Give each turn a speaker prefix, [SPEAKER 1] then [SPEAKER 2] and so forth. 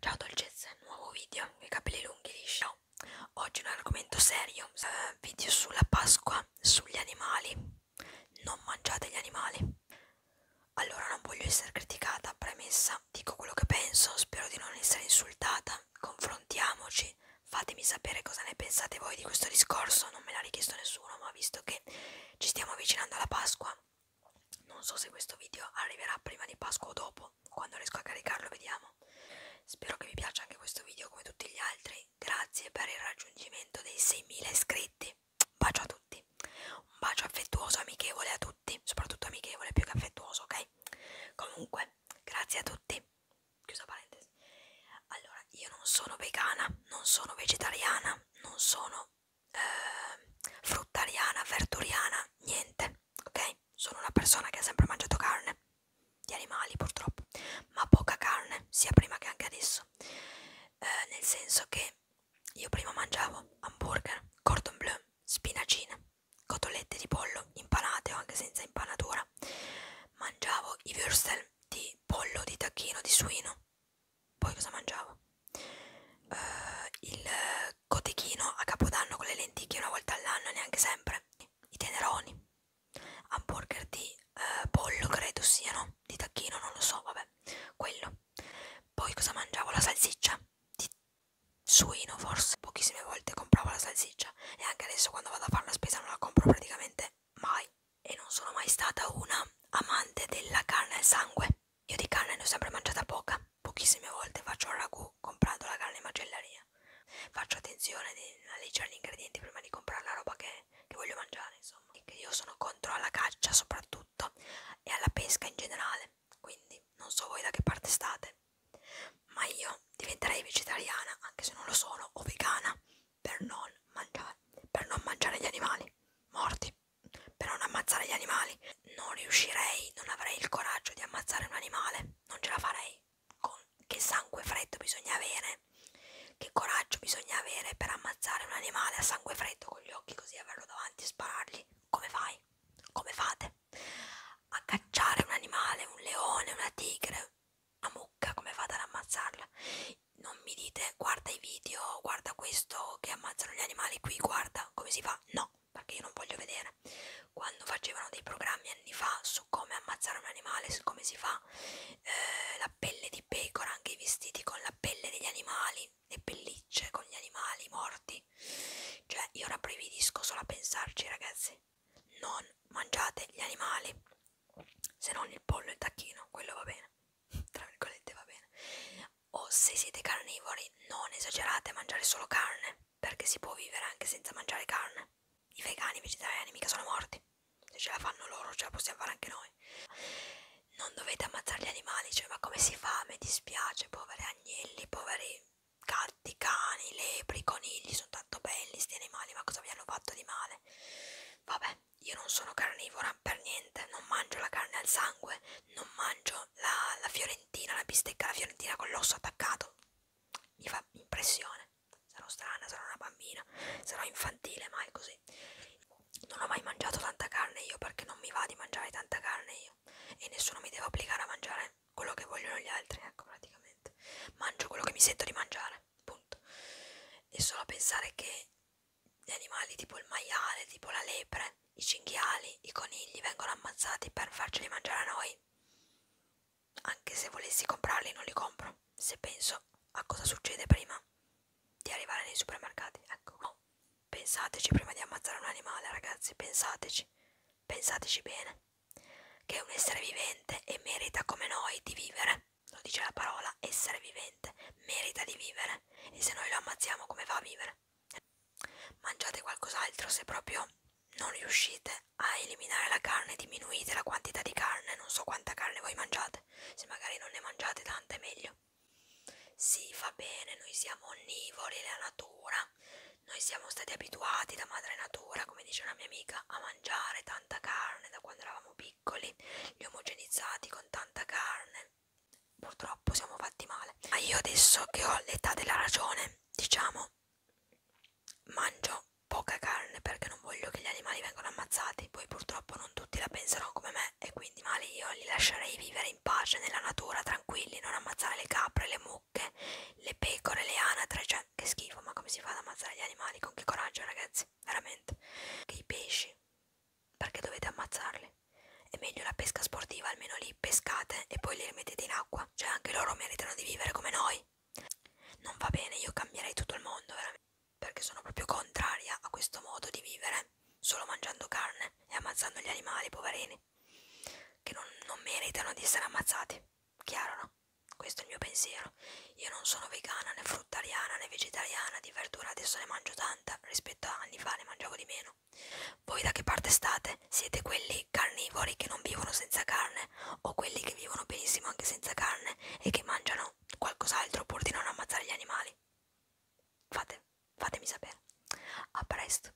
[SPEAKER 1] Ciao dolcezze, nuovo video, i capelli lunghi lisci no. Oggi un argomento serio, eh, video sulla Pasqua, sugli animali Non mangiate gli animali Allora non voglio essere criticata, premessa, dico quello che penso, spero di non essere insultata Confrontiamoci, fatemi sapere cosa ne pensate voi di questo discorso, non me l'ha richiesto nessuno Ma visto che ci stiamo avvicinando alla Pasqua non so se questo video arriverà prima di Pasqua o dopo, quando riesco a caricarlo vediamo. Spero che vi piaccia anche questo video come tutti gli altri, grazie per il raggiungimento dei 6.000 iscritti, un bacio a tutti, un bacio affettuoso, amichevole a tutti, soprattutto amichevole più che affettuoso, ok? Comunque, grazie a tutti, chiusa parentesi. Allora, io non sono vegana, non sono vegetariana, non sono eh, fruttariana, verduriana, niente, ok? Sono una persona che ha sempre mangiato carne, di animali purtroppo, ma poca carne, sia prima che anche adesso, eh, nel senso che io prima mangiavo hamburger, cordon bleu, spinacine, cotolette di pollo impanate o anche senza impanatura, mangiavo i würstel di pollo, di tacchino, di suino, poi cosa mangiavo? Uh, il cotechino a capodanno con le lenticchie una volta all'anno, neanche sempre. I teneroni, hamburger di uh, pollo, credo siano, di tacchino, non lo so, vabbè, quello. Poi cosa mangiavo? La salsiccia di suino, forse. Pochissime volte compravo la salsiccia e anche adesso quando vado a fare la spesa non la compro praticamente mai e non sono mai stata una amante della carne al sangue. Io di carne ne ho sempre mangiata poca, pochissime volte faccio il ragù comprando la carne in macelleria. Faccio attenzione a leggere gli ingredienti prima di comprare la roba che, che voglio mangiare, insomma. E che io sono contro alla caccia soprattutto e alla pesca in generale, quindi non so voi da che parte state. Ma io diventerei vegetariana, anche se non lo sono, o vegana, per non mangiare, per non mangiare gli animali morti, per non ammazzare gli animali. Non riuscirei, non avrei il coraggio di ammazzare un animale, non ce la farei. Con che sangue freddo bisogna avere, che coraggio bisogna avere per ammazzare un animale a sangue freddo con gli occhi così averlo davanti e sparargli. Come fai? Come fate? A cacciare un animale, un leone, una tigre, una mucca, come fate ad ammazzarla? non mi dite guarda i video, guarda questo che ammazzano gli animali qui, guarda come si fa, no, perché io non voglio vedere. Quando facevano dei programmi anni fa su come ammazzare un animale, su come si fa eh, la pelle di pecora, anche i vestiti con la pelle degli animali, le pellicce con gli animali morti, cioè io rabbrividisco solo a pensarci ragazzi, non mangiate gli animali se non il pollo e il tacchino, quello va bene, tra virgolette va bene. O se siete carnivori, non esagerate a mangiare solo carne, perché si può vivere anche senza mangiare carne. I vegani, i vegetariani mica sono morti. Se ce la fanno loro, ce la possiamo fare anche noi. Non dovete ammazzare gli animali, cioè ma come si fa? Mi dispiace, poveri agnelli, poveri gatti, cani, lepri, conigli, sono tanto belli sti animali, ma cosa vi hanno fatto di male? Vabbè, io non sono carnivora per niente, non mangio la carne al sangue, non mangio la, la fiorentina, la bistecca alla fiorentina con l'osso attaccato. Mi fa impressione. Sarò strana, sarò una bambina, sarò infantile, ma è così. Non ho mai mangiato tanta carne io perché non mi va di mangiare tanta carne io e nessuno mi deve obbligare a mangiare quello che vogliono gli altri, ecco praticamente. Mangio quello che mi sento di mangiare punto. E solo pensare che gli animali tipo il maiale, tipo la lepre, i cinghiali, i conigli vengono ammazzati per farceli mangiare a noi. Anche se volessi comprarli non li compro, se penso a cosa succede prima di arrivare nei supermercati. Ecco, no. pensateci prima di ammazzare un animale ragazzi, pensateci, pensateci bene che è un essere vivente e merita come noi di vivere. Lo dice la parola essere vivente, merita di vivere. E se noi lo ammazziamo come va a vivere? Mangiate qualcos'altro se proprio non riuscite a eliminare la carne, diminuite la quantità di carne, non so quanta carne voi mangiate, se magari non ne mangiate tanta è meglio. Sì, fa bene, noi siamo onnivori, la natura, noi siamo stati abituati da madre natura natura, come dice una mia amica, a mangiare tanta carne da quando eravamo piccoli, li omogenizzati con tanta carne. Purtroppo siamo fatti male. Ma io adesso che ho l'età della ragione, diciamo, mangio poca carne perché non voglio che gli animali vengano ammazzati. Poi purtroppo non tutti la penseranno come me e quindi male io li lascerei vivere in pace nella natura, tranquilli, non ammazzare le capre, le mucche, le pecore, le anatre, cioè che schifo, ma come si fa ad ammazzare gli animali? Con che coraggio, ragazzi, veramente. Che i pesci, perché dovete ammazzarli? È meglio la pesca sportiva, almeno li pescate e poi li rimettete in acqua. Cioè, anche loro meritano di vivere come noi. Non va bene, io cambierei tutto il mondo, veramente. Perché sono proprio contraria a questo modo di vivere, solo mangiando carne e ammazzando gli animali, poverini, che non, non meritano di essere ammazzati. Chiaro, no? Questo è il mio pensiero. Io non sono vegana, né fruttariana, né vegetariana, di verdura adesso ne mangio tanta, rispetto a anni fa ne mangiavo di meno. Voi da che parte state? Siete quelli carnivori che non vivono senza carne o quelli che vivono benissimo anche senza carne e che mangiano qualcos'altro pur di non ammazzare gli animali? Fate, fatemi sapere. A presto.